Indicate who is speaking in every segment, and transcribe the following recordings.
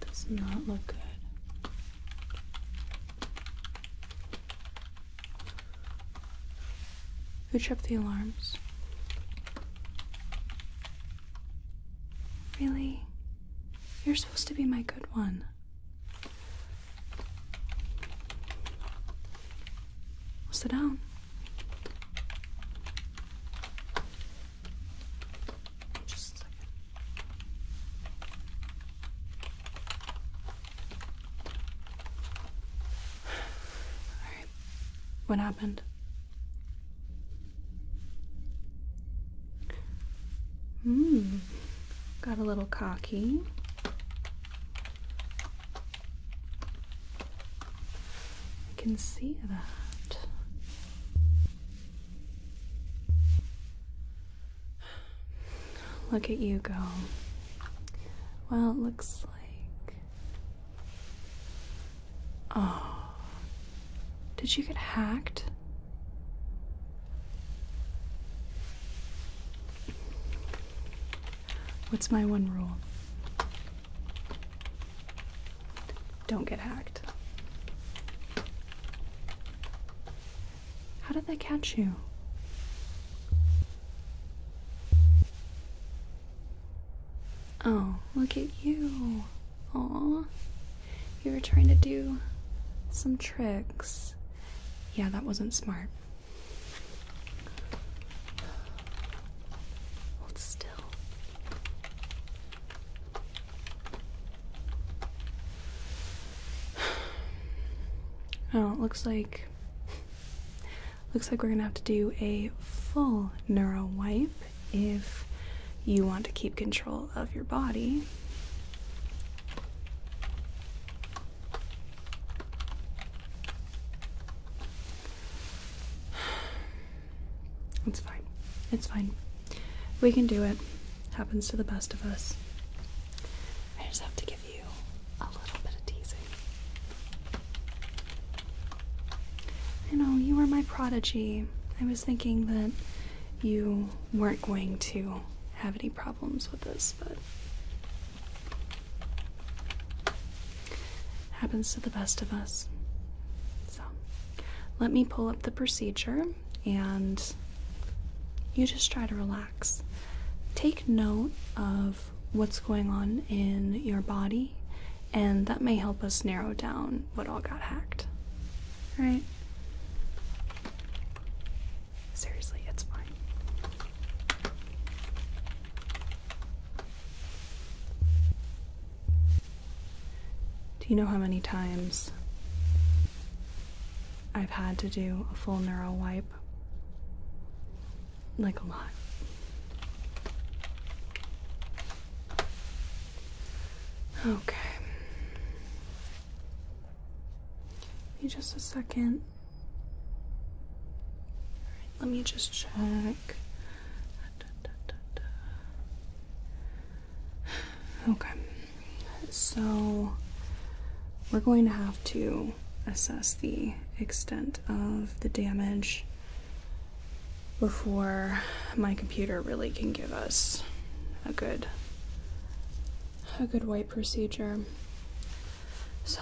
Speaker 1: does not look good. Who tripped the alarms? Really? You're supposed to be my good one. sit down. Just Alright. What happened? Hmm. Got a little cocky. I can see that. Look at you go. Well, it looks like. Oh. Did you get hacked? What's my one rule? Don't get hacked. How did they catch you? Oh, look at you. Aw. You were trying to do some tricks. Yeah, that wasn't smart. Hold still. Oh, it looks like looks like we're gonna have to do a full neuro wipe if you want to keep control of your body. It's fine. It's fine. We can do it. Happens to the best of us. I just have to give you a little bit of teasing. You know, you were my prodigy. I was thinking that you weren't going to have any problems with this, but Happens to the best of us. So, let me pull up the procedure and you just try to relax. Take note of what's going on in your body, and that may help us narrow down what all got hacked. Right? Seriously, it's fine. Do you know how many times I've had to do a full neuro wipe? Like a lot. Okay. Be just a second let me just check. Okay, so we're going to have to assess the extent of the damage before my computer really can give us a good a good white procedure. So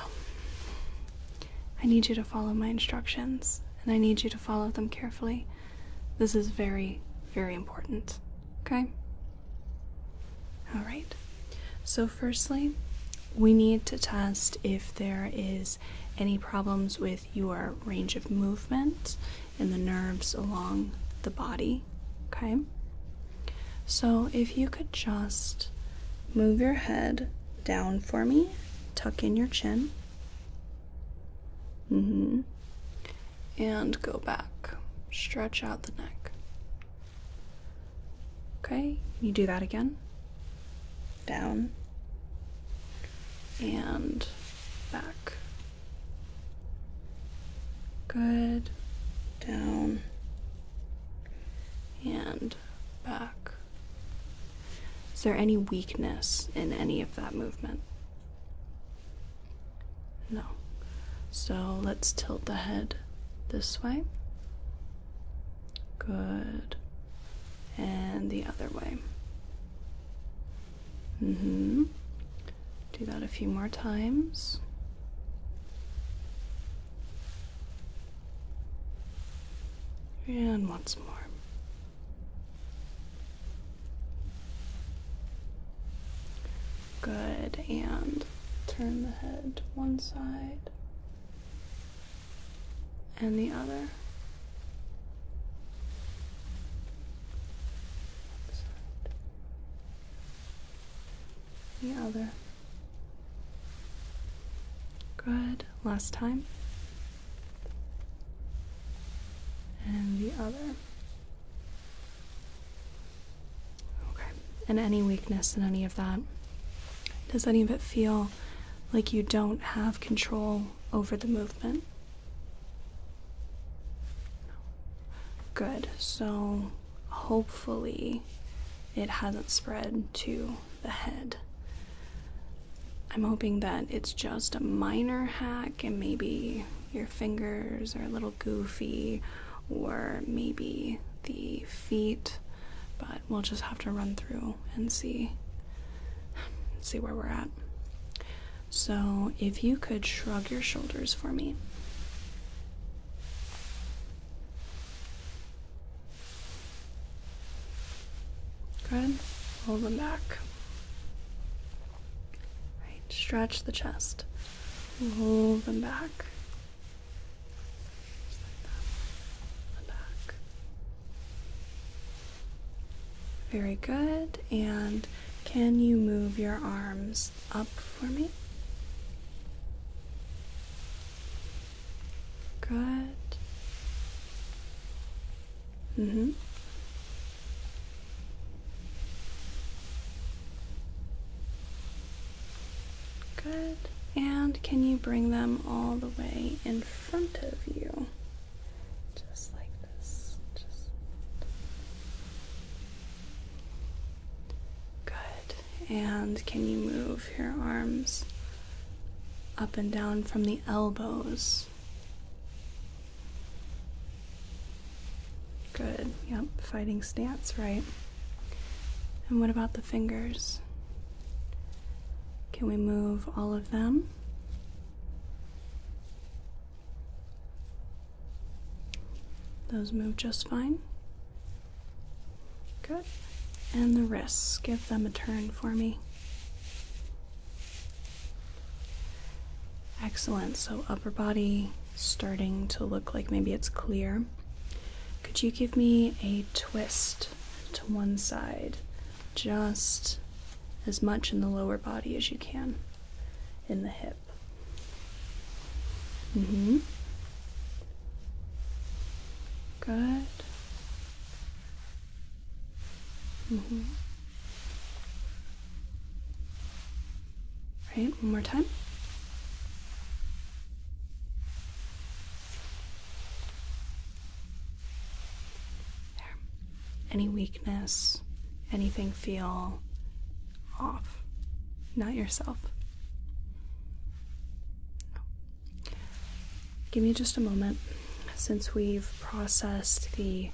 Speaker 1: I need you to follow my instructions and I need you to follow them carefully. This is very, very important. Okay? Alright. So, firstly, we need to test if there is any problems with your range of movement in the nerves along the body. Okay? So, if you could just move your head down for me, tuck in your chin. Mm-hmm. And go back. Stretch out the neck. Okay, you do that again. Down. And back. Good. Down. And back. Is there any weakness in any of that movement? No. So let's tilt the head this way. Good. And the other way. Mm hmm. Do that a few more times. And once more. Good, and turn the head one side and the other. The other. Good, last time and the other. Okay, and any weakness in any of that? Does any of it feel like you don't have control over the movement? Good, so hopefully it hasn't spread to the head. I'm hoping that it's just a minor hack and maybe your fingers are a little goofy or maybe the feet, but we'll just have to run through and see see where we're at. So, if you could shrug your shoulders for me. Good. Pull them back. Right. Stretch the chest. Roll them back. Very good. And can you move your arms up for me? Good. Mm-hmm. Good. And can you bring them all the way in front of you? Just like this. Just. Good. And can you move your arms up and down from the elbows? Good. Yep, fighting stance, right. And what about the fingers? Can we move all of them? Those move just fine. Good. And the wrists, give them a turn for me. Excellent. So, upper body starting to look like maybe it's clear. Could you give me a twist to one side? Just as much in the lower body as you can in the hip. Mm hmm. Good. Mm -hmm. Right, one more time. There. Any weakness, anything feel off, not yourself give me just a moment. Since we've processed the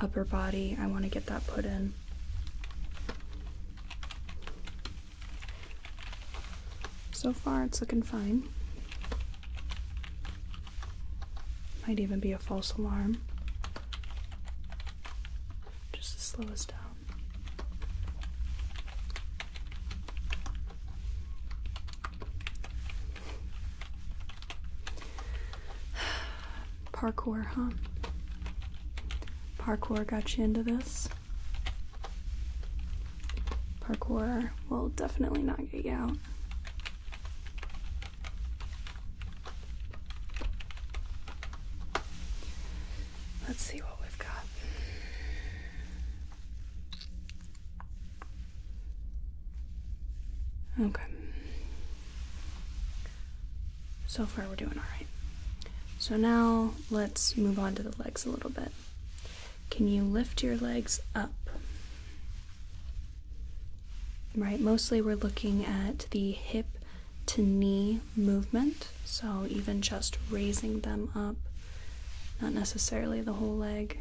Speaker 1: upper body, I want to get that put in. So far, it's looking fine. Might even be a false alarm. Just to slow us down. Parkour, huh? Parkour got you into this. Parkour will definitely not get you out. Let's see what we've got. Okay. So far, we're doing all right. So now let's move on to the legs a little bit. Can you lift your legs up? Right, mostly we're looking at the hip to knee movement, so even just raising them up, not necessarily the whole leg.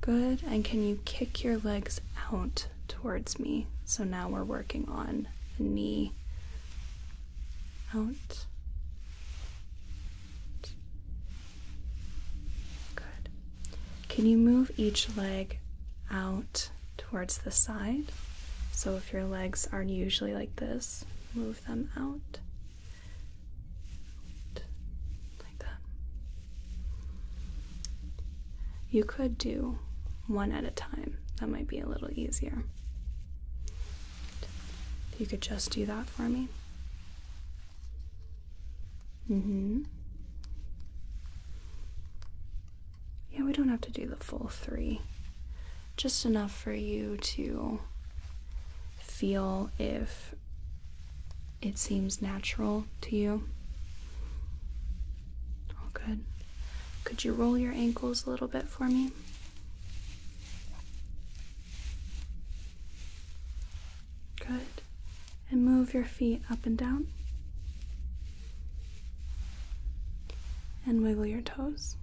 Speaker 1: Good, and can you kick your legs out towards me? So now we're working on the knee out. Good. Can you move each leg out towards the side? So if your legs aren't usually like this, them out. like that. You could do one at a time. That might be a little easier. you could just do that for me. Mm-hmm. Yeah, we don't have to do the full three just enough for you to feel if it seems natural to you. All good. Could you roll your ankles a little bit for me? Good. And move your feet up and down. And wiggle your toes.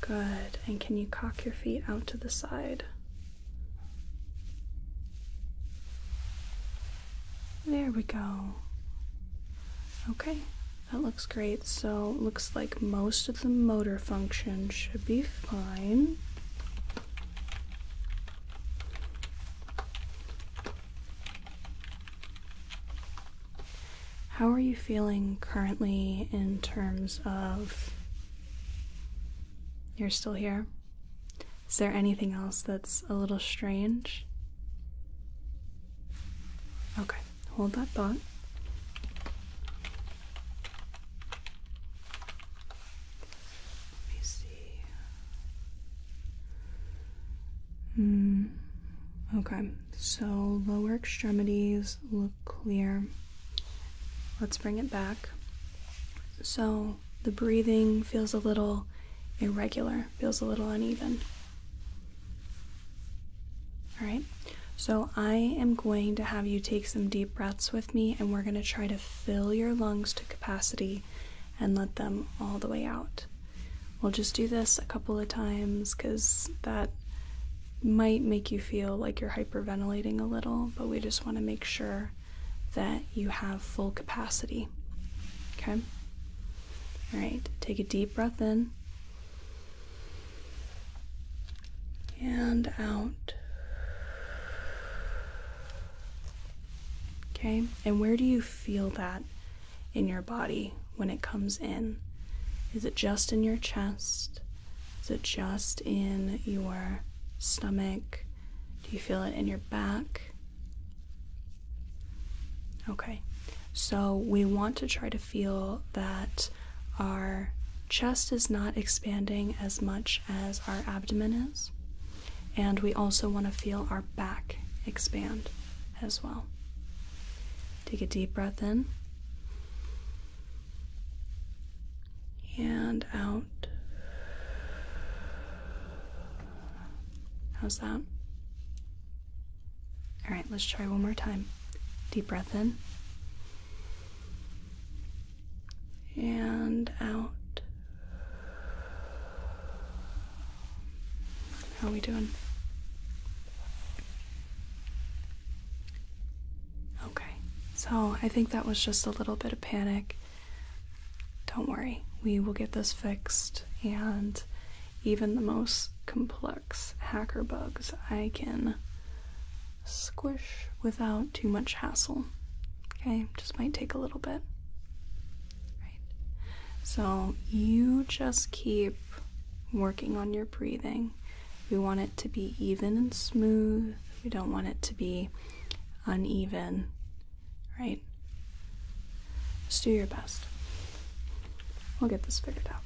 Speaker 1: Good. And can you cock your feet out to the side? There we go. Okay, that looks great. So, looks like most of the motor function should be fine. How are you feeling currently in terms of you're still here? Is there anything else that's a little strange? Okay, hold that thought. Let me see. Mm, Okay, so lower extremities look clear. Let's bring it back. So the breathing feels a little irregular, feels a little uneven. All right, so I am going to have you take some deep breaths with me, and we're going to try to fill your lungs to capacity and let them all the way out. We'll just do this a couple of times because that might make you feel like you're hyperventilating a little, but we just want to make sure that you have full capacity. Okay? All right, take a deep breath in and out. Okay, and where do you feel that in your body when it comes in? Is it just in your chest? Is it just in your stomach? Do you feel it in your back? Okay, so we want to try to feel that our chest is not expanding as much as our abdomen is. And we also want to feel our back expand as well. Take a deep breath in and out. How's that? All right, let's try one more time. Deep breath in and out. How are we doing? Okay, so I think that was just a little bit of panic. Don't worry, we will get this fixed, and even the most complex hacker bugs I can squish without too much hassle. Okay, just might take a little bit. So you just keep working on your breathing. We want it to be even and smooth. We don't want it to be uneven, right? Just do your best. We'll get this figured out.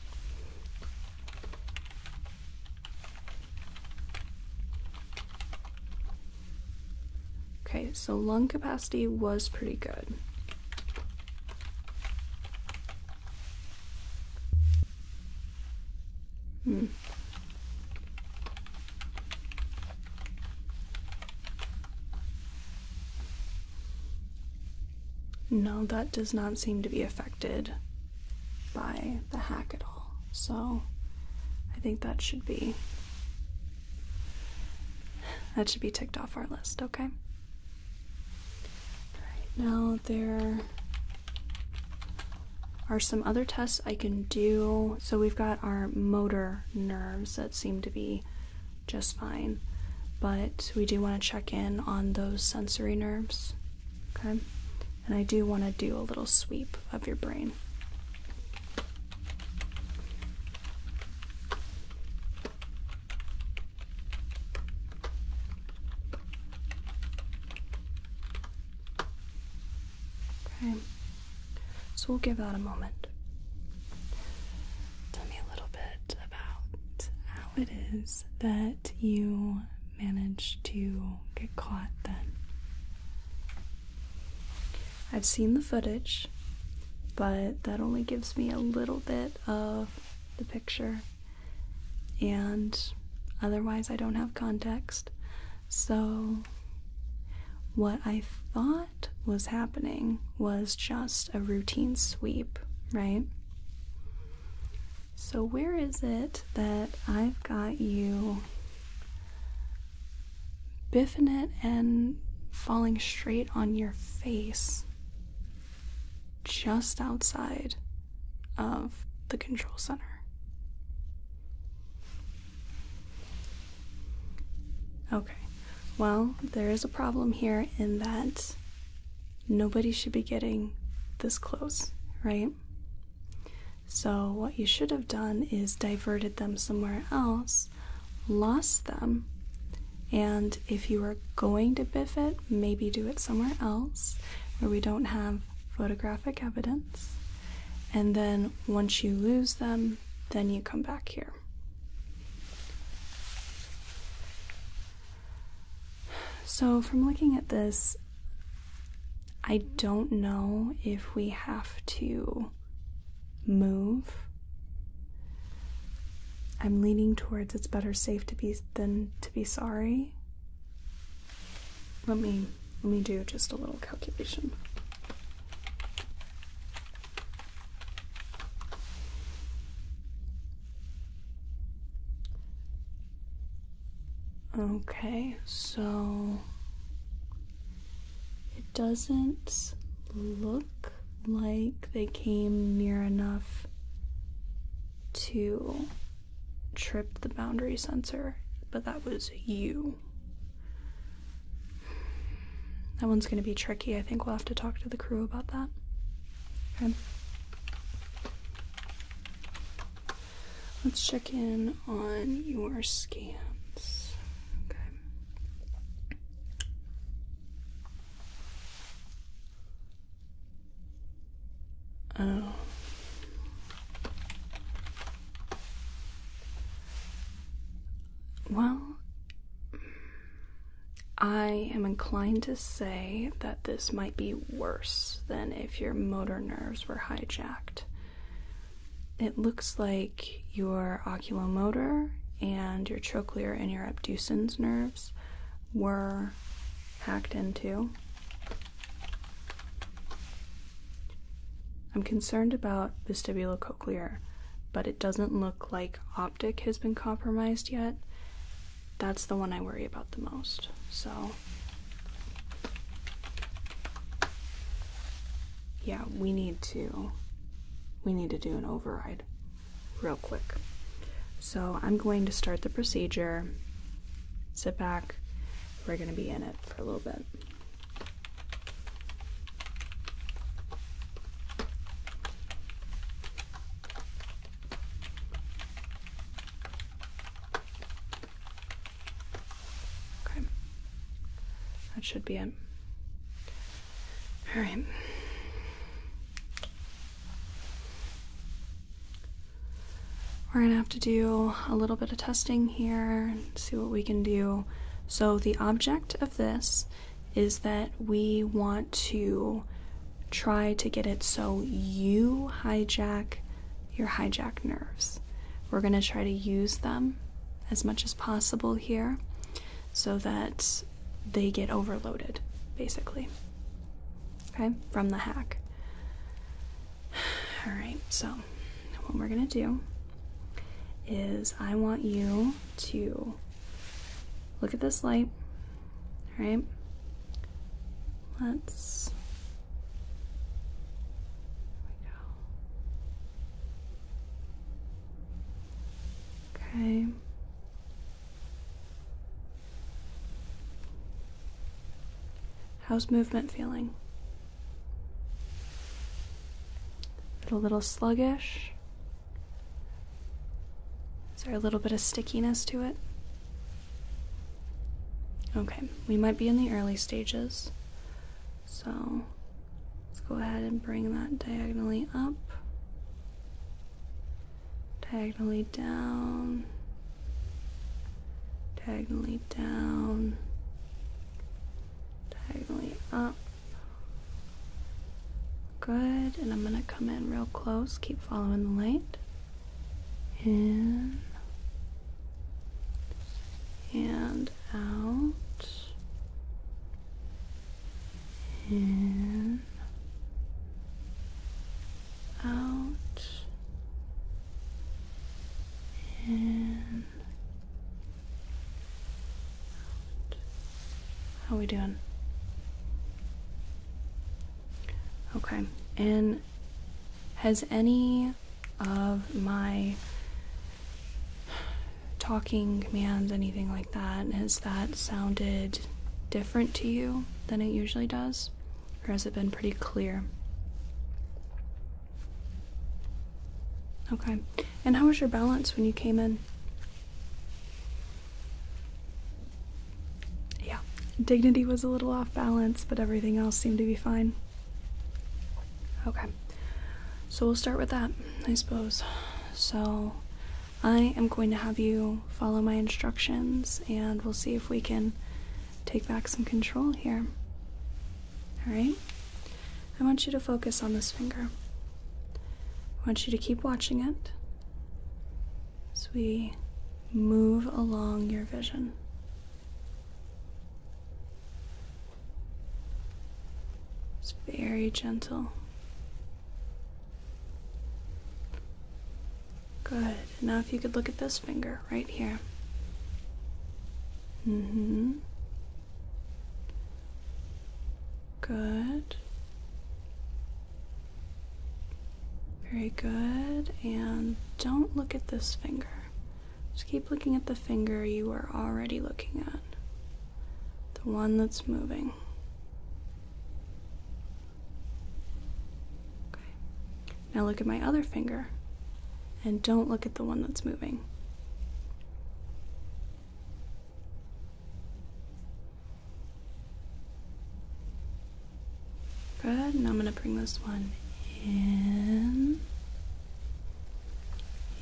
Speaker 1: Okay, so lung capacity was pretty good. Hmm. No, that does not seem to be affected by the hack at all. So I think that should be that should be ticked off our list, okay? now, there are some other tests I can do. So, we've got our motor nerves that seem to be just fine, but we do want to check in on those sensory nerves. Okay, and I do want to do a little sweep of your brain. Okay, so we'll give that a moment. Tell me a little bit about how it is that you managed to get caught then. I've seen the footage, but that only gives me a little bit of the picture, and otherwise, I don't have context. So, what I thought was happening was just a routine sweep, right? So, where is it that I've got you biffing it and falling straight on your face? just outside of the control center. Okay, well, there is a problem here in that nobody should be getting this close, right? So, what you should have done is diverted them somewhere else lost them. And if you are going to biff it, maybe do it somewhere else where we don't have photographic evidence. And then once you lose them, then you come back here. So, from looking at this, I don't know if we have to move I'm leaning towards it's better safe to be than to be sorry. Let me let me do just a little calculation. Okay, so it doesn't look like they came near enough to trip the boundary sensor, but that was you. That one's going to be tricky. I think we'll have to talk to the crew about that. Let's check in on your scans. Oh. Well, I am inclined to say that this might be worse than if your motor nerves were hijacked. It looks like your oculomotor and your trochlear and your abducens nerve were hacked into. I'm concerned about vestibulocochlear, but it doesn't look like optic has been compromised yet. That's the one I worry about the most. So, yeah, we need to we need to do an override real quick. So I'm going to start the procedure. Sit back. We're going to be in it for a little bit. Okay. That should be it. All right. We're going to have to do a little bit of testing here and see what we can do. So the object of this is that we want to try to get it so you hijack your hijack nerves. We're going to try to use them as much as possible here so that they get overloaded, basically. Okay, from the hack. All right, so what we're gonna do is I want you to look at this light, all right? Let's. There we go. Okay. How's movement feeling? a little sluggish? Is there a little bit of stickiness to it? Okay, we might be in the early stages. So let's go ahead and bring that diagonally up diagonally down, diagonally down, diagonally up. Good, and I'm gonna come in real close, keep following the light. In and out in, out, in, out. How we doing? Okay. And has any of my talking commands, anything like that has that sounded different to you than it usually does or has it been pretty clear okay and how was your balance when you came in yeah dignity was a little off balance but everything else seemed to be fine okay so we'll start with that i suppose so I am going to have you follow my instructions and we'll see if we can take back some control here. Alright? I want you to focus on this finger. I want you to keep watching it as we move along your vision. It's very gentle. Good. Now, if you could look at this finger right here. Mm hmm. Good. Very good. And don't look at this finger. Just keep looking at the finger you are already looking at the one that's moving. Okay. Now look at my other finger and don't look at the one that's moving. Good, and I'm going to bring this one in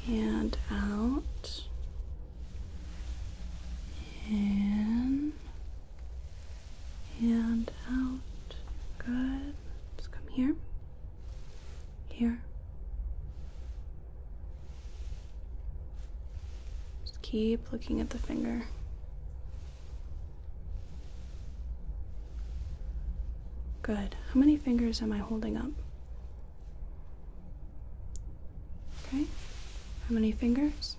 Speaker 1: and out. In and out. Good. let come here. Here. Just keep looking at the finger. Good. How many fingers am I holding up? Okay. How many fingers?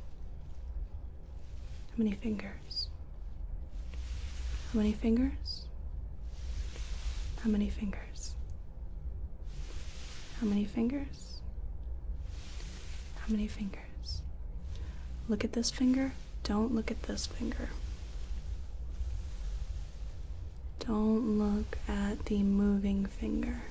Speaker 1: How many fingers? How many fingers? How many fingers? How many fingers? How many fingers? Look at this finger. Don't look at this finger. Don't look at the moving finger.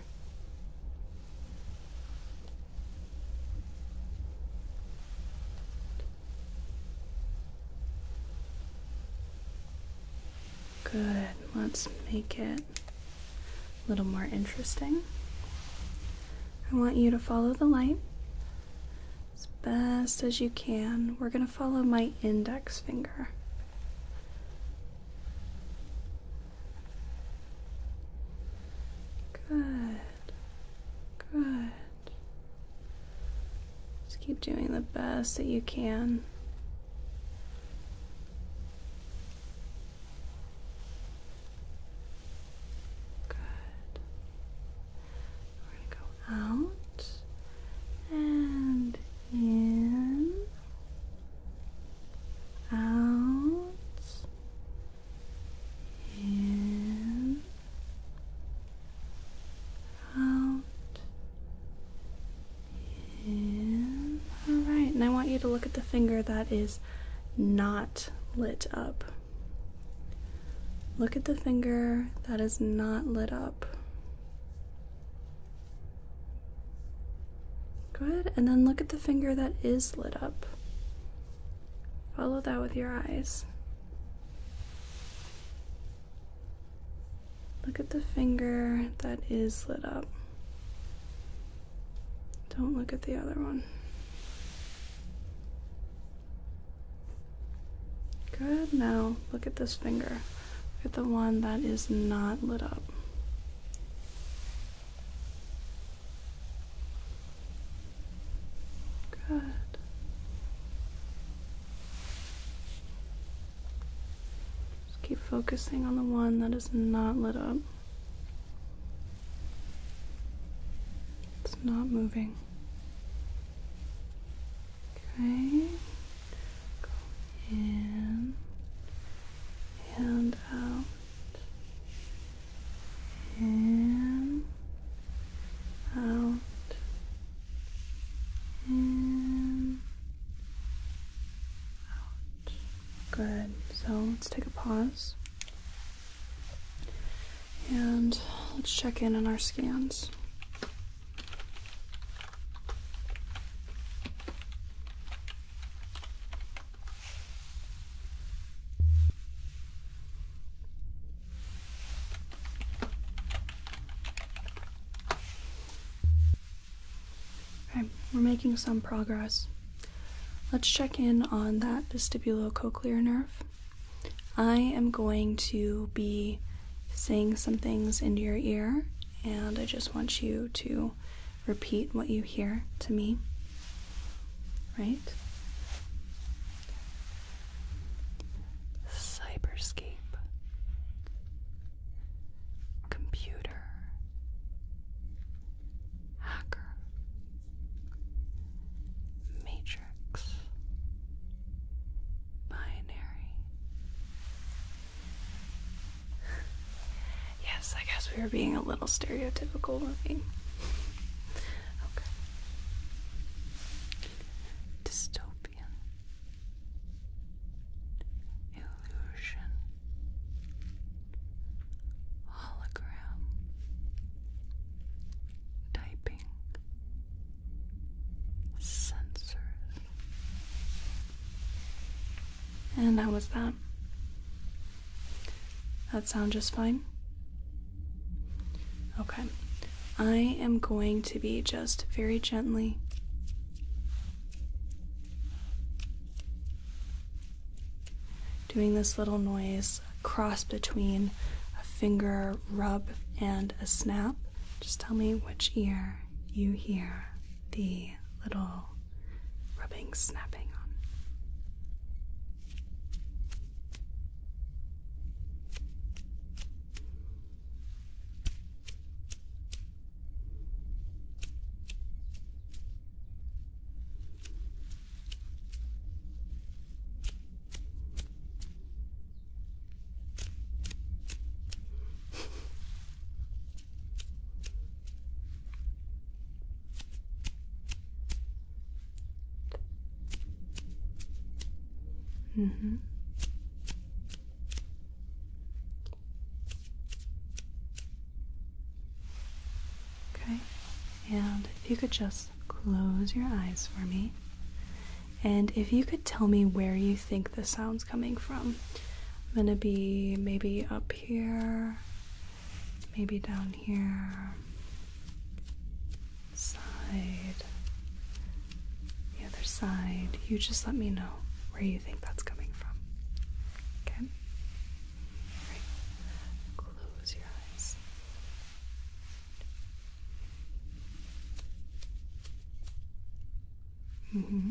Speaker 1: Good. Let's make it a little more interesting. I want you to follow the light as best as you can. We're going to follow my index finger. Good. Good. Just keep doing the best that you can. Good. We're going to go out and in out in out in all right and I want you to look at the finger that is not lit up look at the finger that is not lit up Good, and then look at the finger that is lit up. Follow that with your eyes. Look at the finger that is lit up. Don't look at the other one. Good. Now look at this finger. Look at the one that is not lit up. Good. Just keep focusing on the one that is not lit up. It's not moving. Okay. Go in and out in out in out good so let's take a pause and let's check in on our scans Okay, we're making some progress. Let's check in on that vestibulocochlear nerve. I am going to be saying some things into your ear, and I just want you to repeat what you hear to me, right? Cyberscape. Computer. Hacker. Matrix. Binary. Yes, I guess we were being a little stereotypical, weren't we? Okay. Dystopian. Illusion. Hologram. Typing. Sensors. And how was that? That sound just fine? Okay. I am going to be just very gently doing this little noise cross between a finger rub and a snap. Just tell me which ear you hear the little rubbing, snapping on. Mm-hmm. Okay, and if you could just close your eyes for me, and if you could tell me where you think the sound's coming from, I'm gonna be maybe up here, maybe down here, side, the other side. You just let me know where you think that's coming from. Okay? Close your eyes. Mm hmm.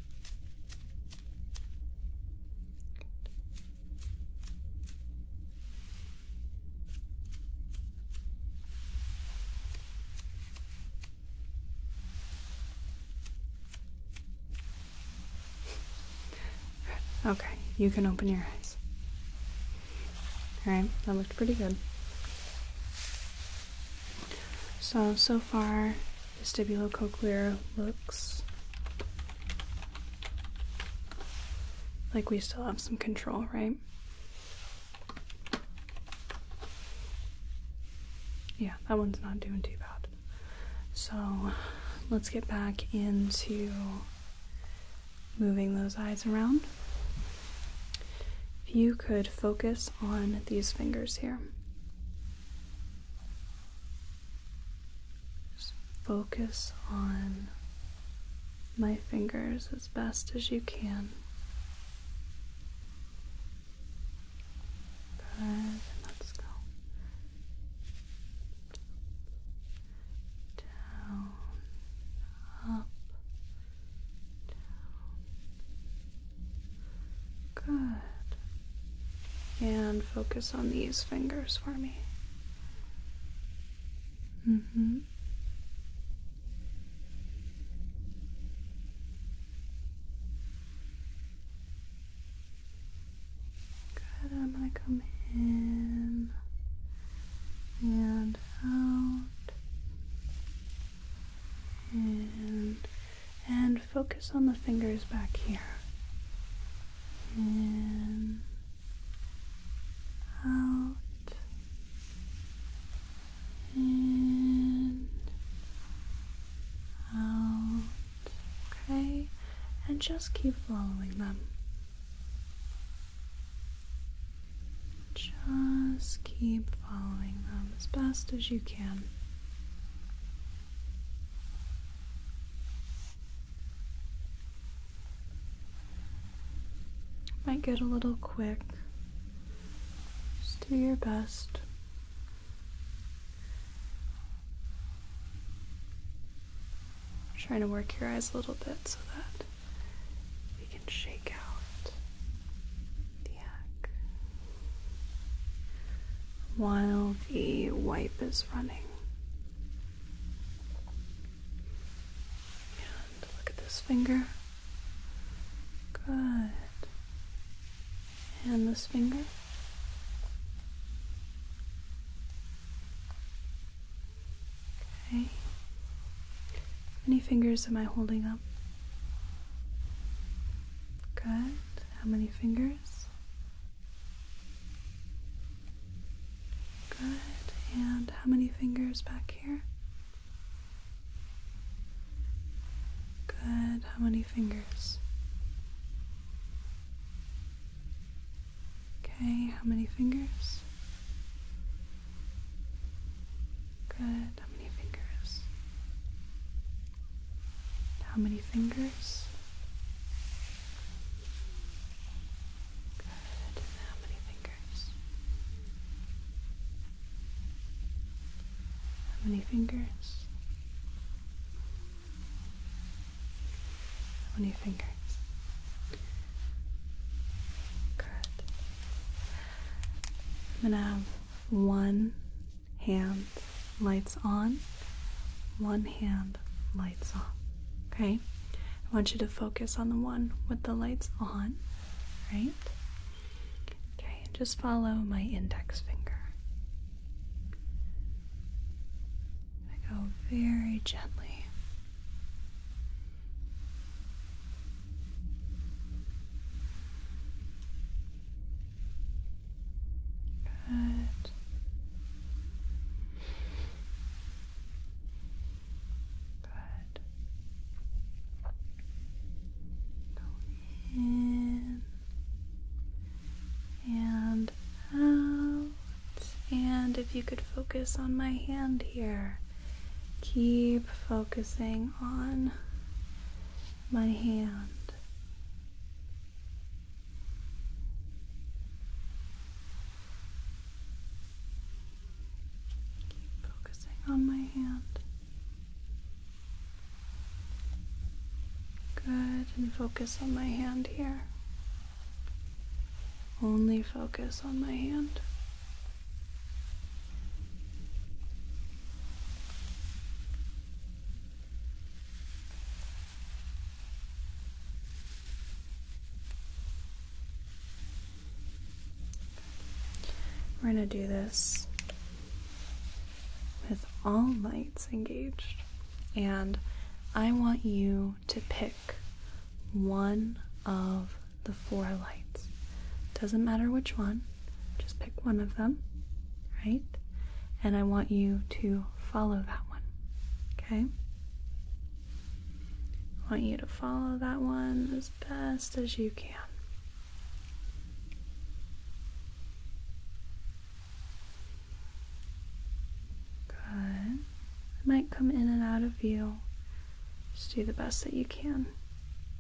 Speaker 1: Okay, you can open your eyes. Alright, that looked pretty good. So, so far, Vestibulocochlear looks like we still have some control, right? Yeah, that one's not doing too bad. So let's get back into moving those eyes around. If you could focus on these fingers here. Just focus on my fingers as best as you can. and let's go down, up, down, Good. And focus on these fingers for me. Mm hmm. Good. I'm going to come in and out and and focus on the fingers back here in out in out okay and just keep following them just keep following them as best as you can. Might get a little quick. Just do your best. Trying to work your eyes a little bit so that we can shake out while the wipe is running. And look at this finger. Good. And this finger. Okay. How many fingers am I holding up? Good. How many fingers? Good. And how many fingers back here? Good. How many fingers? Okay, how many fingers? Good. How many fingers? How many fingers? Good. how many fingers? How many fingers? How many fingers? Good. I'm gonna have one hand lights on, one hand lights off. Okay? I want you to focus on the one with the lights on, right? Okay, just follow my index finger. I go very gently. Good. Good. Go in and out. And if you could focus on my hand here, keep focusing on my hand. Keep focusing on my hand. Good, and focus on my hand here. Only focus on my hand. We're going to do this with all lights engaged, and I want you to pick one of the four lights. Doesn't matter which one, just pick one of them, right? And I want you to follow that one, okay? I want you to follow that one as best as you can. Good. might come in and out of view. Just do the best that you can.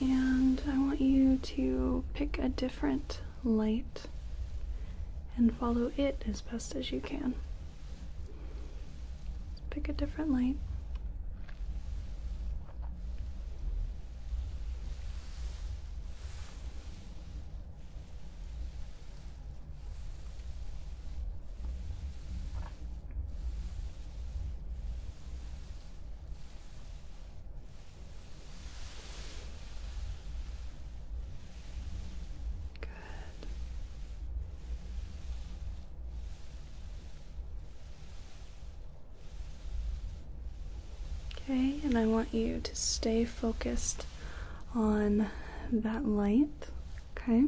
Speaker 1: And I want you to pick a different light and follow it as best as you can. Pick a different light. Good. Okay, and I want you to stay focused on that light, okay?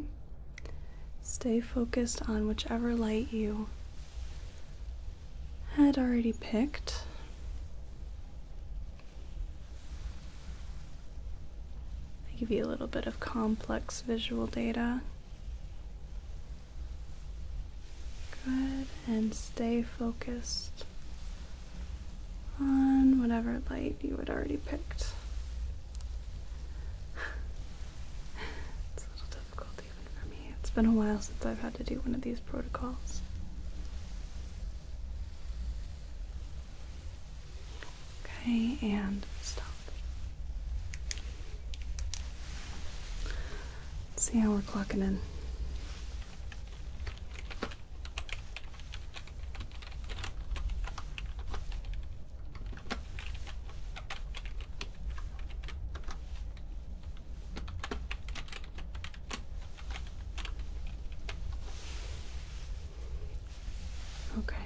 Speaker 1: Stay focused on whichever light you had already picked. I give you a little bit of complex visual data. Good, and stay focused on whatever light you had already picked. difficult even for me. It's been a while since I've had to do one of these protocols. Okay, and stop. see how we're clocking in. Okay,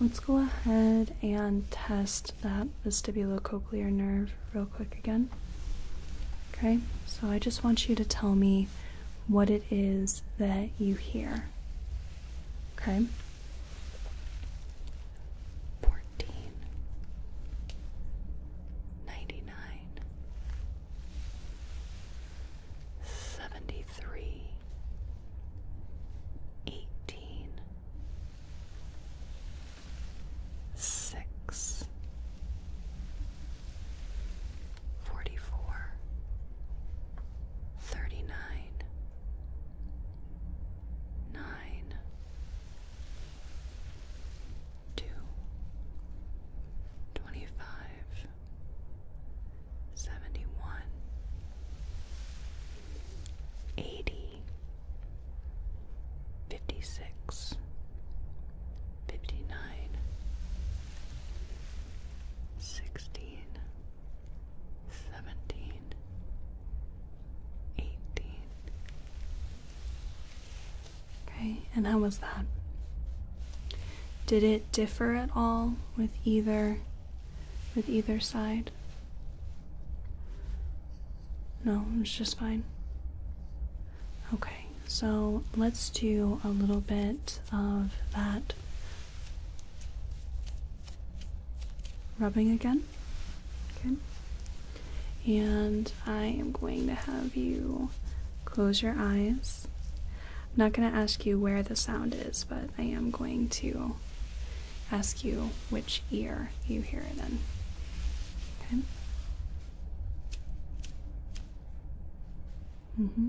Speaker 1: let's go ahead and test that vestibulocochlear nerve real quick again. Okay, so I just want you to tell me what it is that you hear. Okay? fourteen ninety nine seventy three eighteen six forty four thirty nine nine two, twenty five, seventy one, eighty, fifty six, fifty nine, sixteen, seventeen eighteen. Okay, and how was that? Did it differ at all with either with either side? No, it's just fine. Okay, so let's do a little bit of that rubbing again. Okay. And I am going to have you close your eyes. I'm not going to ask you where the sound is, but I am going to ask you which ear you hear it in. Okay? Mm-hmm.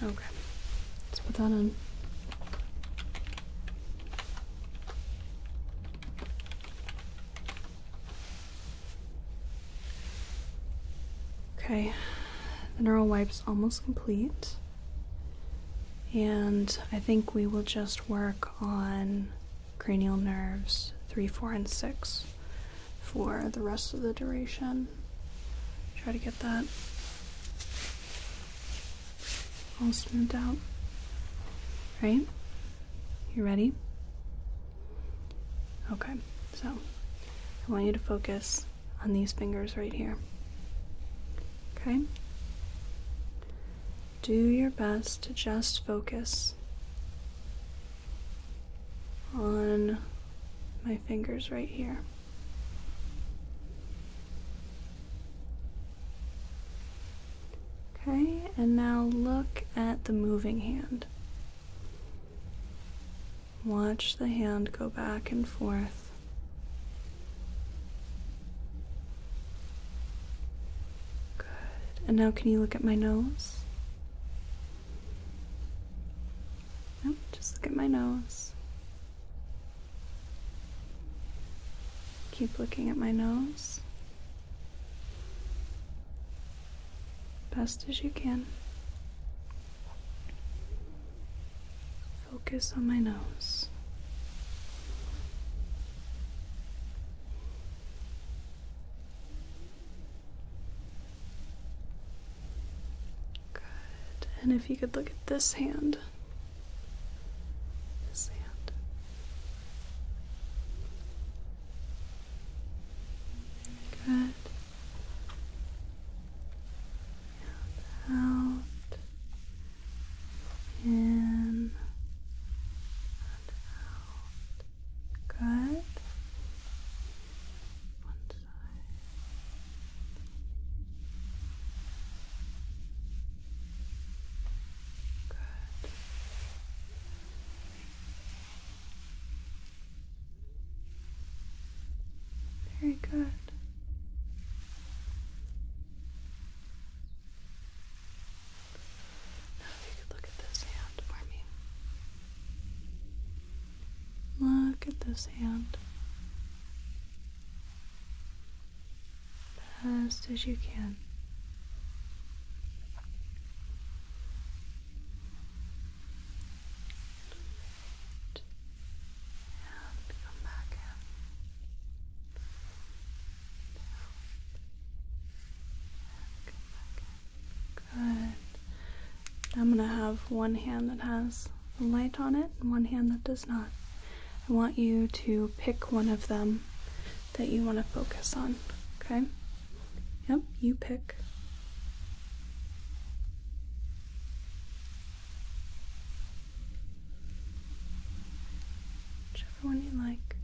Speaker 1: Okay, let's put that on. Okay, the neural is almost complete. And I think we will just work on cranial nerves 3, 4, and 6 for the rest of the duration. Try to get that all smoothed out. Right? You ready? Okay, so I want you to focus on these fingers right here. Okay? Do your best to just focus on my fingers right here. Okay, and now look at the moving hand. Watch the hand go back and forth. Good. And now, can you look at my nose? just look at my nose. Keep looking at my nose. Best as you can. Focus on my nose. Good. And if you could look at this hand. This hand. Good. And out. In. And out. Good. Good. Very good. Now, if you could look at this hand for me. Look at this hand. Best as you can. And come back And come back Good. I'm going to have one hand that has a light on it and one hand that does not. I want you to pick one of them that you want to focus on, okay? Yep, you pick. Whichever one you like.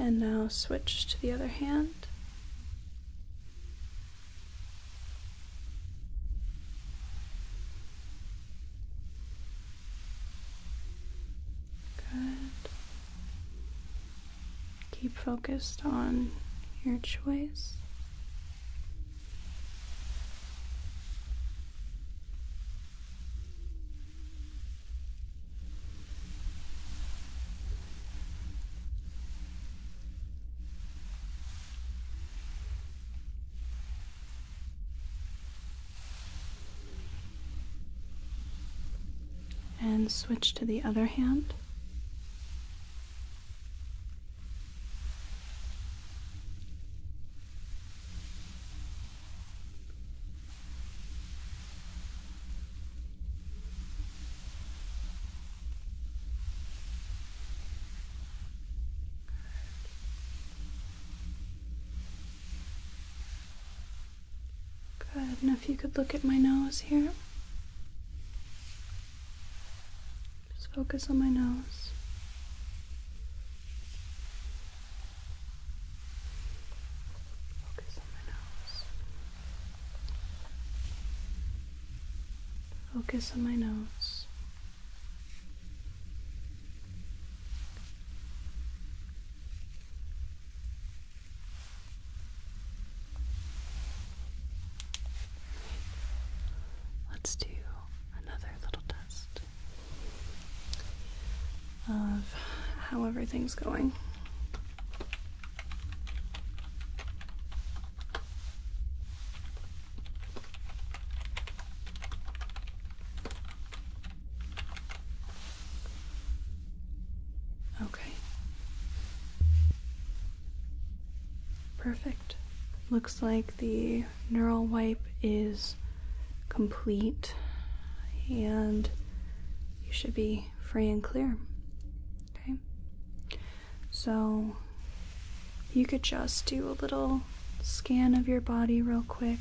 Speaker 1: And now switch to the other hand. Good. Keep focused on your choice. And switch to the other hand. Good. And if you could look at my nose here. Just focus on my nose. Focus on the nose. Focus on my nose. Let's do another little test of how everything's going. Okay. Perfect. Looks like the neural wipe is complete and you should be free and clear. Okay? So you could just do a little scan of your body real quick.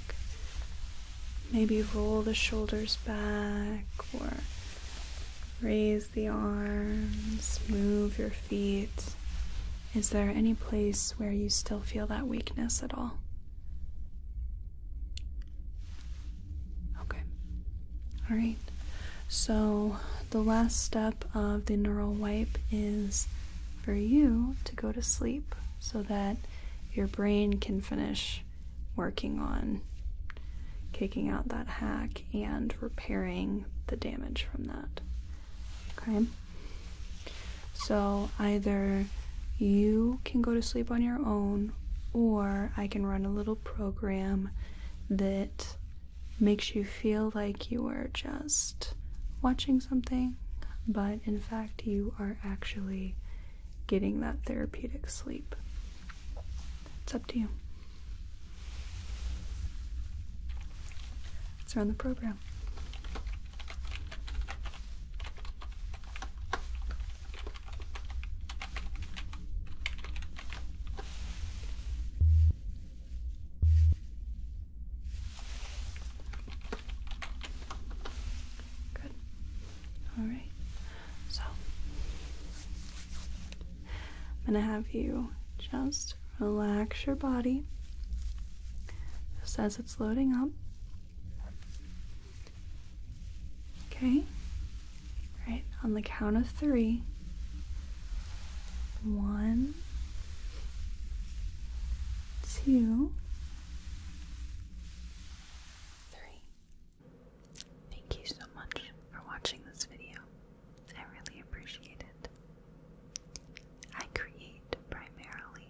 Speaker 1: Maybe roll the shoulders back or raise the arms, move your feet. Is there any place where you still feel that weakness at all? Okay. All right. So, the last step of the neural wipe is for you to go to sleep so that your brain can finish working on kicking out that hack and repairing the damage from that. Okay. So either you can go to sleep on your own, or I can run a little program that makes you feel like you are just watching something, but in fact, you are actually getting that therapeutic sleep. It's up to you. It's us run the program. Good. All right. So, I'm going to have you just relax your body. Just as it's loading up, Okay? All right, on the count of three. One, two, three. Thank you so much for watching this video. I really appreciate it. I create primarily